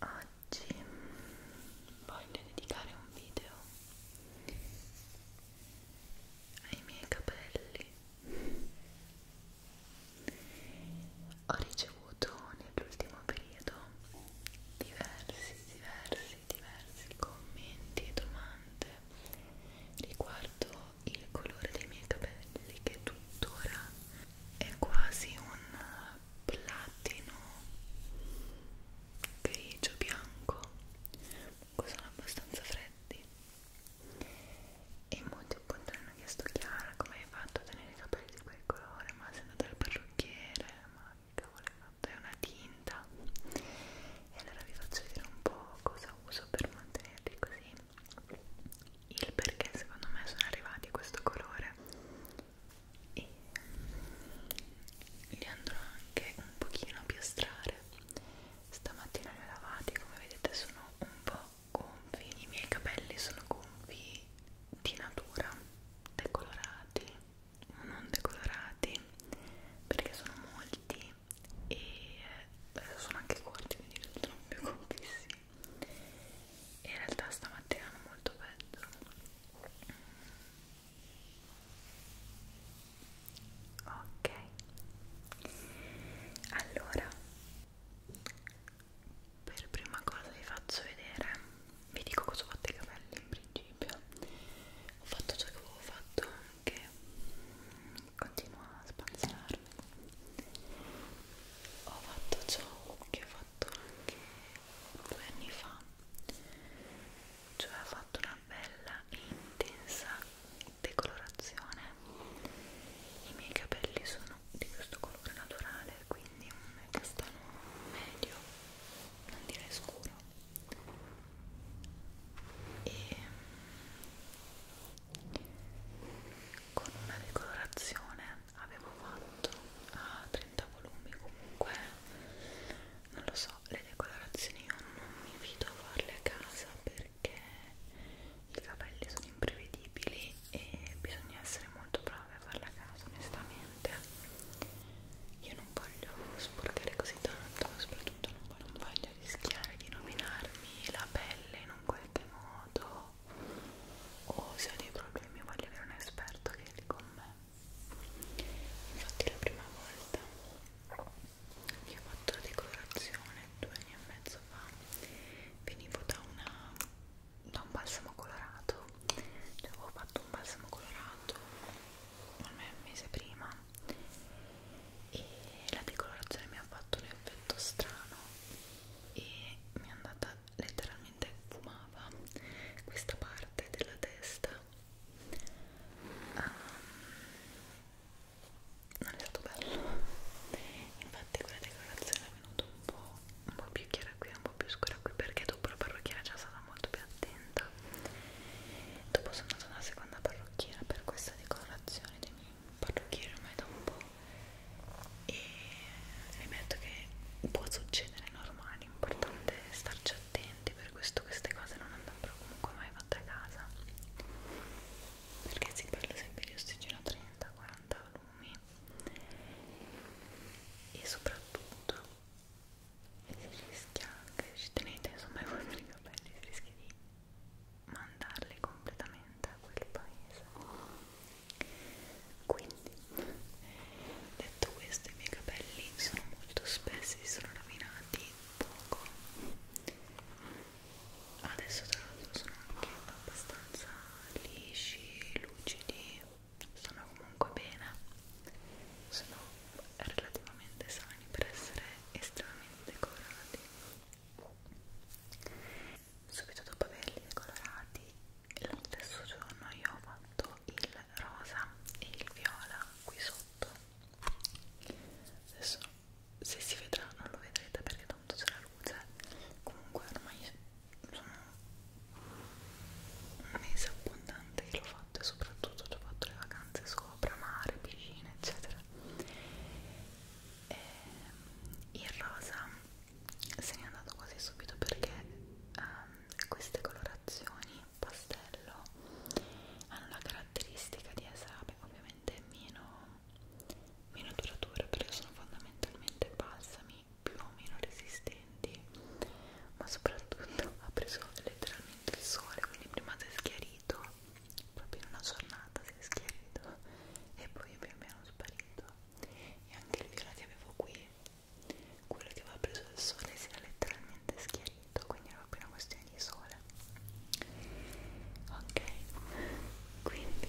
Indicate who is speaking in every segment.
Speaker 1: Oggi voglio dedicare un video ai miei capelli. Ho ricevuto nell'ultimo periodo diversi, diversi, diversi commenti e domande riguardo il colore dei miei capelli che tuttora è quasi un platino grigio bianco sono abbastanza freddi e molti appunto mi hanno chiesto Chiara come hai fatto a tenere i capelli di quel colore ma sei andata al parrucchiere ma che cavolo hai fatto è una tinta e allora vi faccio vedere un po' cosa uso per mantenerli così il perché secondo me sono arrivati a questo colore e li andrò anche un pochino a piastrare stamattina li ho lavati come vedete sono un po' gonfi i miei capelli sono gonfi di natura decolorati o non decolorati perché sono molti e eh, sono anche corti quindi risultano più gonfissimi e in realtà stamattina non molto peggio ok allora per prima cosa vi faccio vedere vi dico cosa ho fatto i capelli in principio ho fatto ciò che avevo fatto che continua a spazzarmi ho fatto ciò che ho fatto anche due anni fa cioè ha fatto una bella e intensa decolorazione i miei capelli sono di questo colore naturale quindi un castano medio non direi scuro e con una decolorazione avevo fatto ah, a 30 volumi comunque non lo so le decolorazioni io non mi invito a farle a casa perché i capelli sono imprevedibili e bisogna essere molto bravi a farle a casa onestamente io non voglio sporcare così tanto soprattutto non voglio, non voglio rischiare di rovinarmi la pelle in un qualche modo o se ho dei problemi voglio avere un esperto che li con me infatti la prima volta che ho fatto la decorazione due anni e mezzo fa venivo da, una, da un balsamo colorato cioè avevo fatto un balsamo colorato almeno un mese prima e la decolorazione mi ha fatto un effetto strano e mi è andata letteralmente fumava questa parte della testa um, non è stato bello infatti quella decorazione è venuta un po', un po' più chiara qui un po' più scura qui perché dopo la parrucchiera già stata molto più attenta dopo sono andata alla seconda parrucchiera per questa decorazione dei miei parrucchieri ormai da un po' e rimetto che può succedere normale l'importante è starci attenti, per questo queste cose non andrebbero comunque mai fatte a casa perché si parla sempre di ossigeno 30-40 volumi e soprattutto si rischia anche, ci tenete insomma i vostri capelli, si rischia di mandarli completamente a quel paese quindi detto questo i miei capelli sono molto spessi si sono rovinati poco adesso tra l'altro sono anche abbastanza lisci lucidi sono comunque bene sono relativamente sani per essere estremamente colorati subito dopo averli decolorati lo stesso giorno io ho fatto il rosa e il viola qui sotto adesso se si vedrà non lo vedrete perché tanto c'è la luce comunque ormai sono un mese abbondante che l'ho fatto e soprattutto ci ho fatto le vacanze sopra mare, piscina eccetera e ehm, il rosa se n'è andato quasi subito perché um, queste colorazioni pastello hanno la caratteristica di essere beh, ovviamente meno, meno durature perché sono fondamentalmente balsami più o meno resistenti ma soprattutto ha preso letteralmente il sole quindi prima si è schiarito proprio in una giornata si è schiarito e poi pian piano sparito e anche il viola che avevo qui quello che aveva preso dal sole si era letteralmente schiarito quindi era proprio una questione di sole ok quindi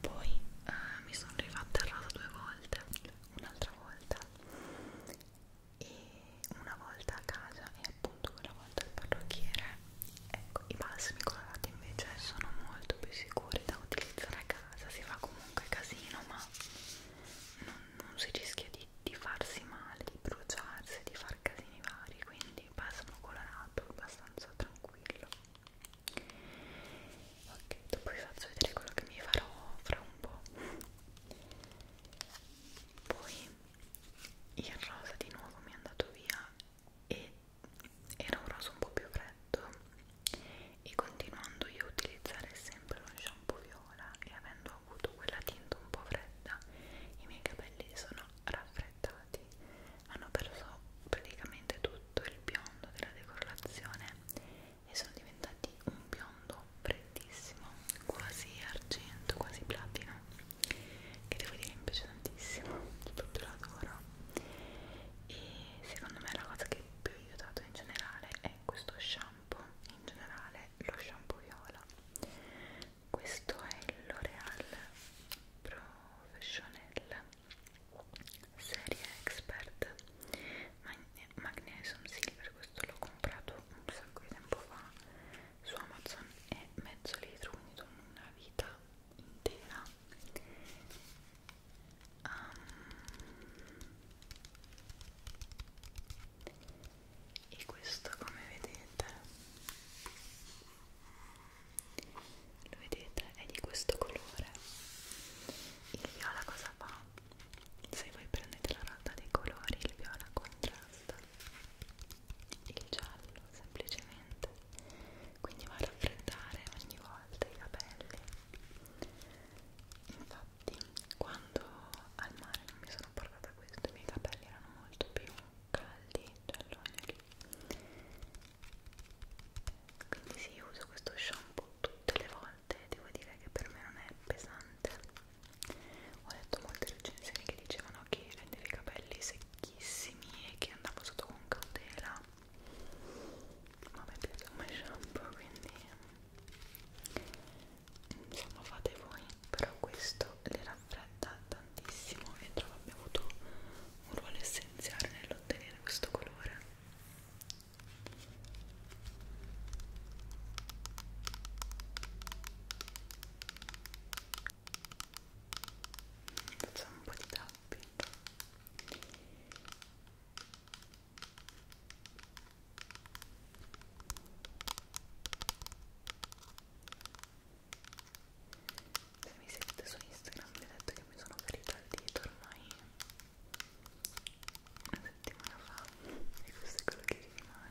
Speaker 1: poi uh, mi sono rifatta il raso due volte un'altra volta e una volta a casa e appunto quella volta al parrucchiere ecco i balsami colorati invece sono molto più sicuri da utilizzare a casa si fa comunque comunque casino ma non, non si rischia di, di farsi male, di bruciarsi, di far casini vari quindi balsamo colorato abbastanza tranquillo ok, dopo vi faccio vedere quello che mi farò fra un po' poi il rosa di nuovo mi è andato via e era un rosa un po' più freddo e continuando io a utilizzare sempre lo shampoo viola e avendo avuto quella tinta un po' fredda i miei capelli sono raffreddati hanno perso praticamente tutto il biondo della decolorazione e sono diventati un biondo freddissimo quasi argento, quasi platino che devo dire mi piace tantissimo tutto l'adoro e secondo me la cosa che più ha aiutato in generale è questo shampoo in generale lo shampoo viola questo è il L'Oreal Professional serie expert Magne magnesium silver questo l'ho comprato un sacco di tempo fa su Amazon è mezzo litro quindi una vita intera um, e questo come vedete lo vedete è di questo colore il viola cosa fa? se voi prendete la rotta dei colori il viola contrasta il giallo semplicemente quindi va a raffreddare ogni volta i capelli infatti quando al mare non mi sono portata questo i miei capelli erano molto più caldi gialloni cioè quindi sì uso questo shampoo tutte le volte devo dire che per me non è pesante ho letto molte recensioni che dicevano che rendeva i capelli secchissimi e che andavo sotto con cautela ma mi piace come shampoo quindi insomma fate voi però questo le raffredda tantissimo e trovo abbia avuto un ruolo essenziale nell'ottenere questo colore facciamo un po' di tapping se mi seguite su Instagram vi ho detto che mi sono ferita il dito ormai una settimana fa e questo è quello che rimane.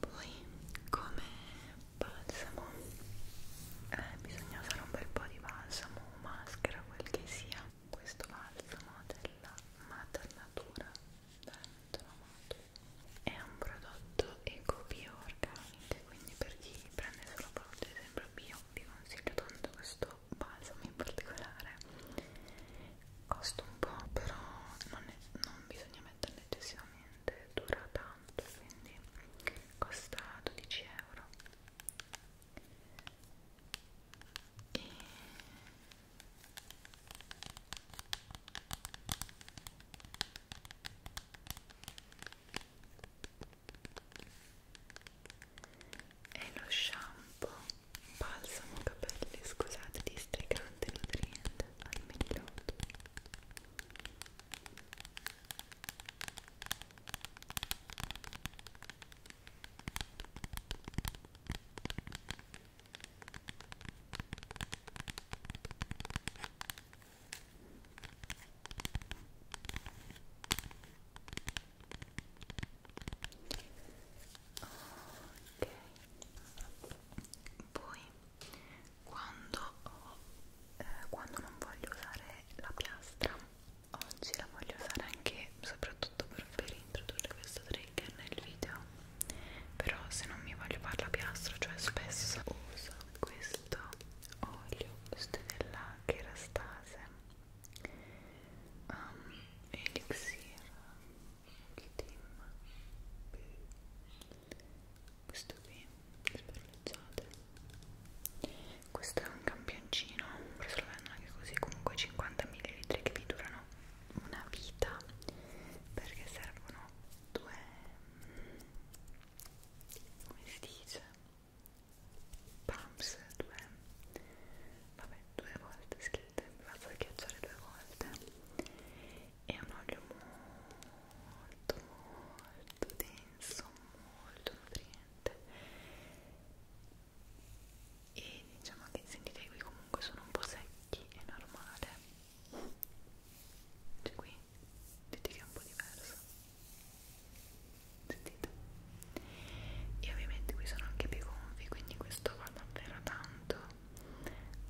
Speaker 1: Poi come balsamo eh, bisogna fare un bel po' di balsamo, maschera, quel che sia. Questo balsamo della Mater Natura veramente l'ho amato è un prodotto eco bio organico quindi per chi prende solo prodotti sempre bio vi consiglio tanto questo balsamo in particolare costa un po' però non, è, non bisogna metterlo eccessivamente dura tanto quindi costa 12 euro e e lo shampoo balsamo capelli scusate districante nutriente al migliotto ok poi quando ho, eh, quando non voglio usare la piastra oggi la voglio usare anche soprattutto per, per introdurre questo trigger nel video però se non mi voglio fare la piastra cioè spesso uso questo olio questo è della Kerastase um, Elixir Team questo qui sperleggiate questo è un campioncino però se lo vendono anche così comunque 50 ml che vi durano una vita perché servono due come si dice pumps due vabbè due volte scritte mi vado a ghiacciare due volte è un olio molto molto denso molto nutriente e diciamo che sentite qui comunque sono un po' secchi è normale c'è qui dite che è un po' diverso sentite e ovviamente qui sono anche più gonfi quindi questo va davvero tanto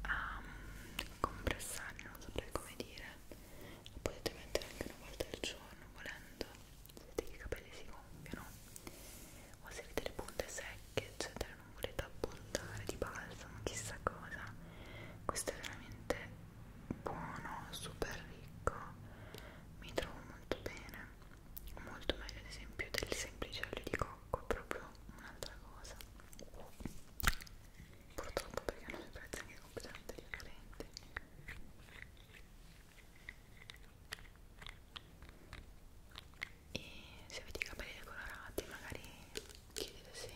Speaker 1: a mm, compressare non saprei come dire lo potete mettere anche una volta al giorno volendo se i capelli si gonfiano o se avete le punte secche eccetera non volete appuntare di balsamo chissà cosa questo è veramente buono, super ricco mi trovo molto bene molto meglio ad esempio del semplice olio di cocco è proprio un'altra cosa purtroppo perché hanno dei prezzi anche completamente differenti e se avete i capelli decolorati magari chiedete se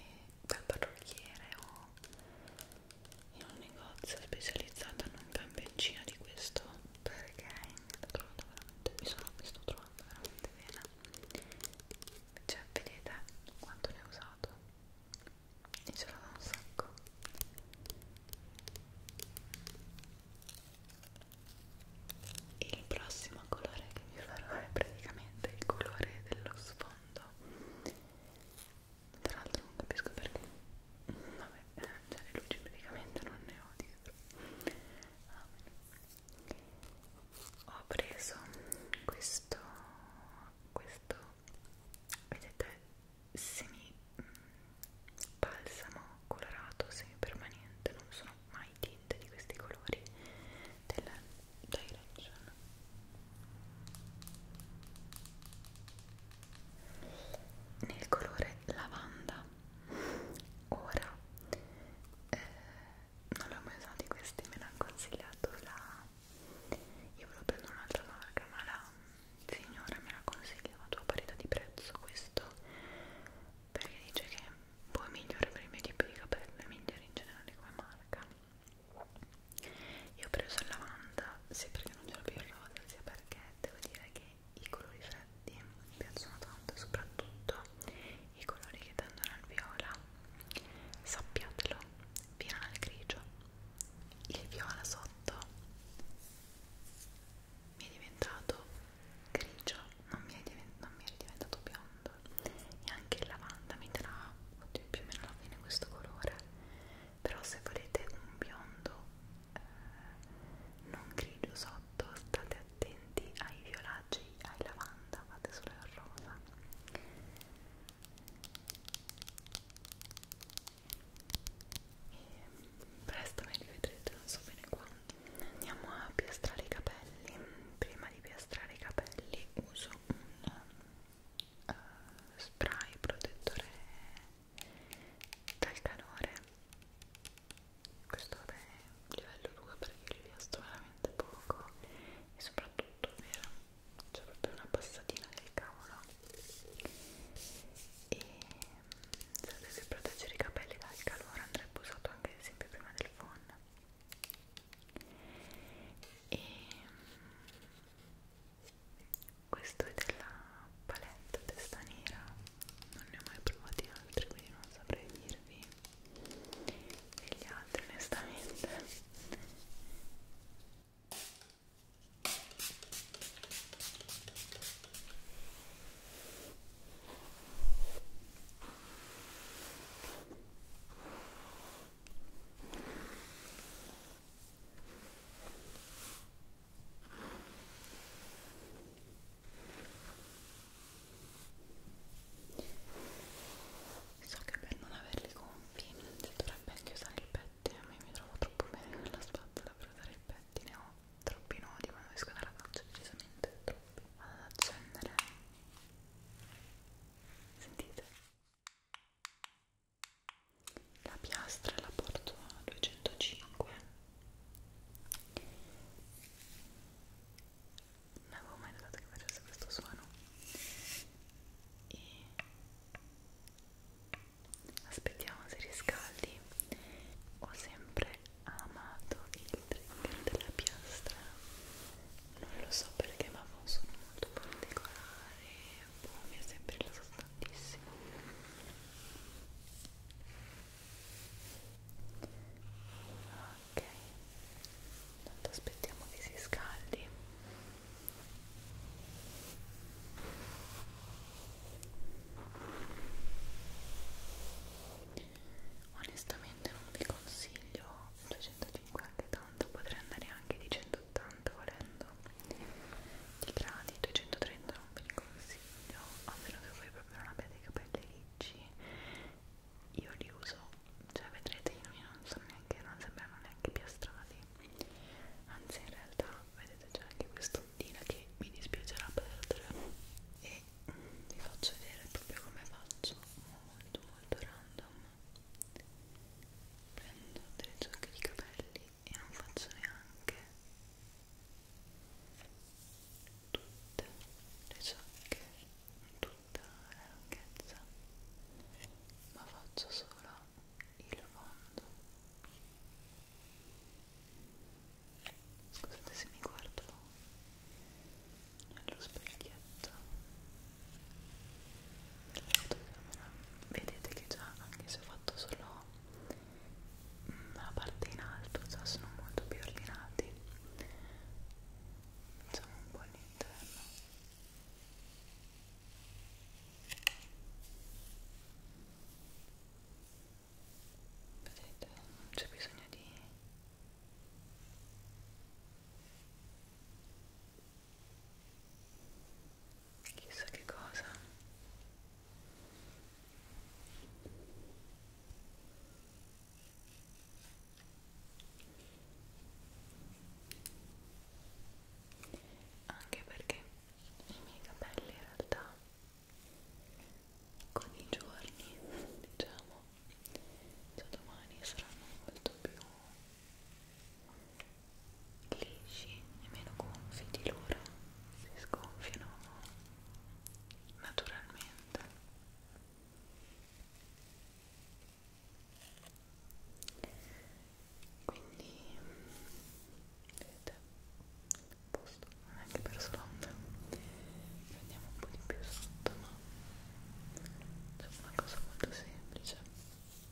Speaker 1: dal parrucchiere o in un negozio specializzato in un campeggino di questo perché mi sono questo trovando veramente bene cioè vedete quanto ne ho usato e ce l'ho un sacco il prossimo colore che vi farò è praticamente il colore dello sfondo mondo tra l'altro non capisco perché vabbè, eh, cioè le luci praticamente non ne ho dietro ah, ho preso questo questo vedete semi mm, balsamo colorato semi permanente non sono mai tinte di questi colori del dai ragione nel colore lavanda ora eh, non l'ho mai usato questi me l'ha consigliato la io volevo prendere un'altra marca ma la signora me l'ha consigliato a parità di prezzo questo perché dice che può migliorare per i miei tipi di capelli migliori in generale come marca io ho preso la lavanda sia perché non ce l'ho più il rosa, sia perché devo dire che i colori freddi mi piacciono tanto, soprattutto i colori che tendono al viola. Sappiatelo, piano al grigio, il viola sotto mi è diventato grigio, non mi è diventato, non mi è diventato biondo lavanda e anche il lavanda mi darà oddio, più o meno alla fine questo colore però se volete un biondo eh, non grigio sotto state attenti ai violacei ai lavanda fate solo il rosa e presto me li vedrete non so bene quando andiamo a piastrare i capelli prima di piastrare i capelli uso un uh, spray protettore dal calore questo è livello 2 perché li visto veramente poco e soprattutto vero c'è proprio una passatina del cavolo e se dovessi proteggere i capelli dal calore andrebbe usato anche ad esempio prima del phon e mm, questo è della palette testa nera non ne ho mai provati altri quindi non saprei dirvi degli altri onestamente So che per non averli compi si dovrebbe anche usare il pettine, a me mi trovo troppo bene con la spazzola per usare il pettine, ho troppi nodi quando esco dalla faccia, decisamente troppi. Vado ad accendere. Sentite? la piastra la porto a 205 non avevo mai notato che facesse questo suono e aspettiamo se riscaldi ho sempre amato il trigger della piastra non lo so perché ma sono molto particolari boh, mi è sempre rilassato tantissimo ok tanto aspettiamo che si scaldi Onestamente non vi consiglio 200 150 e tanto potrei andare anche di 180 volendo di gradi 230 non ve li consiglio a meno che voi proprio non abbiate i capelli ricci io li uso cioè vedrete i miei non sono neanche non sembrano neanche piastrati anzi in realtà vedete c'è anche quest'ondina che mi dispiacerà perdere e vi faccio vedere proprio come faccio molto molto random prendo delle ciocche di capelli e non faccio neanche tutte le ciocche tutta la lunghezza ma faccio solo il fondo scusate se mi guardo nello specchietto vedete che già anche se ho fatto solo mm, la parte in alto già sono molto più ordinati facciamo un po' all'interno vedete non c'è bisogno di chissà che cosa anche perché i miei capelli in realtà con i giorni diciamo da domani saranno molto più lisci e meno gonfi di loro si sgonfiano naturalmente quindi vedete posto non è che per stonda prendiamo un po' di più sotto ma no? c'è una cosa molto semplice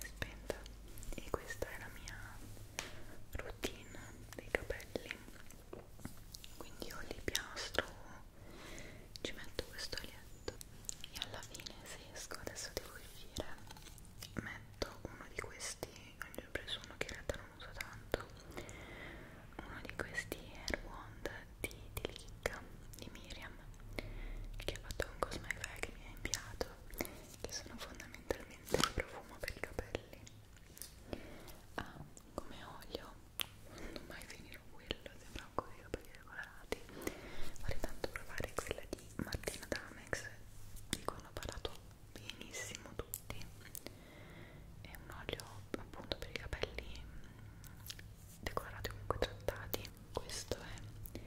Speaker 1: è spenta e questa è la mia routine dei capelli quindi io li piastro ci metto questo olietto e alla fine se esco adesso devo uscire metto uno di questi ne ho preso uno che in realtà non uso tanto uno di questi hair wand di, di Lick di Miriam che ha fatto un cosmetico che mi ha inviato che sono fondamentalmente un profumo per i capelli ah, come olio non mai finirò quello sembra un i capelli regolati vorrei tanto provare quella di Martina Damex di cui hanno parlato benissimo tutti è un olio appunto per i capelli mm, decorati comunque trattati questo è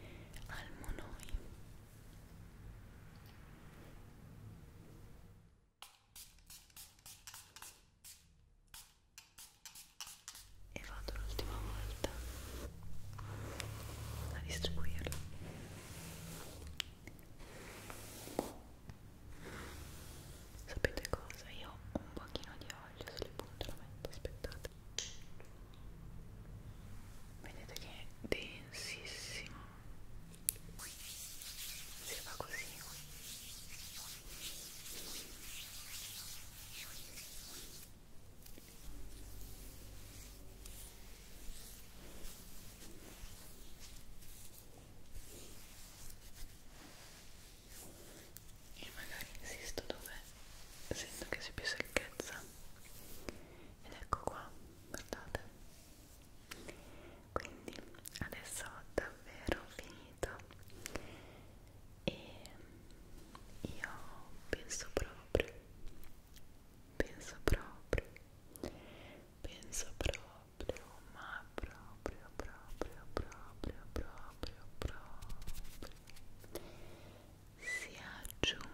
Speaker 1: Almonoi e vado l'ultima volta a distribuirlo sapete cosa? io ho un pochino di olio sulle punte lo metto aspettate vedete che è densissimo si fa così e magari insisto dove sento che c'è più secchezza ed ecco qua guardate quindi adesso ho davvero finito e io penso proprio penso proprio penso proprio ma proprio proprio proprio proprio proprio si aggiunga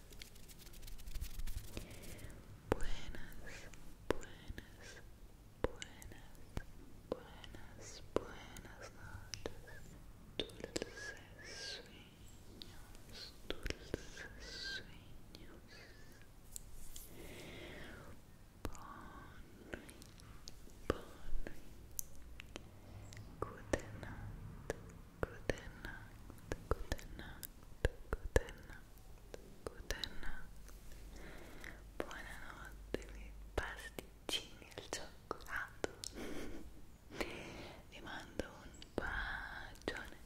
Speaker 1: Buenas, buenas, buenas, buenas, buenas noches. Dulces sueños, dulces sueños. Bonne, bonne. Good night, good night, good night, good night. Buonanotte, buonanotte miei pasticcini al cioccolato. Vi mando un bacione.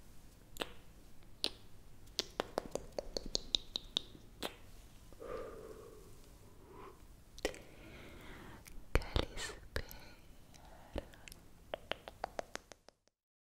Speaker 1: Calispera.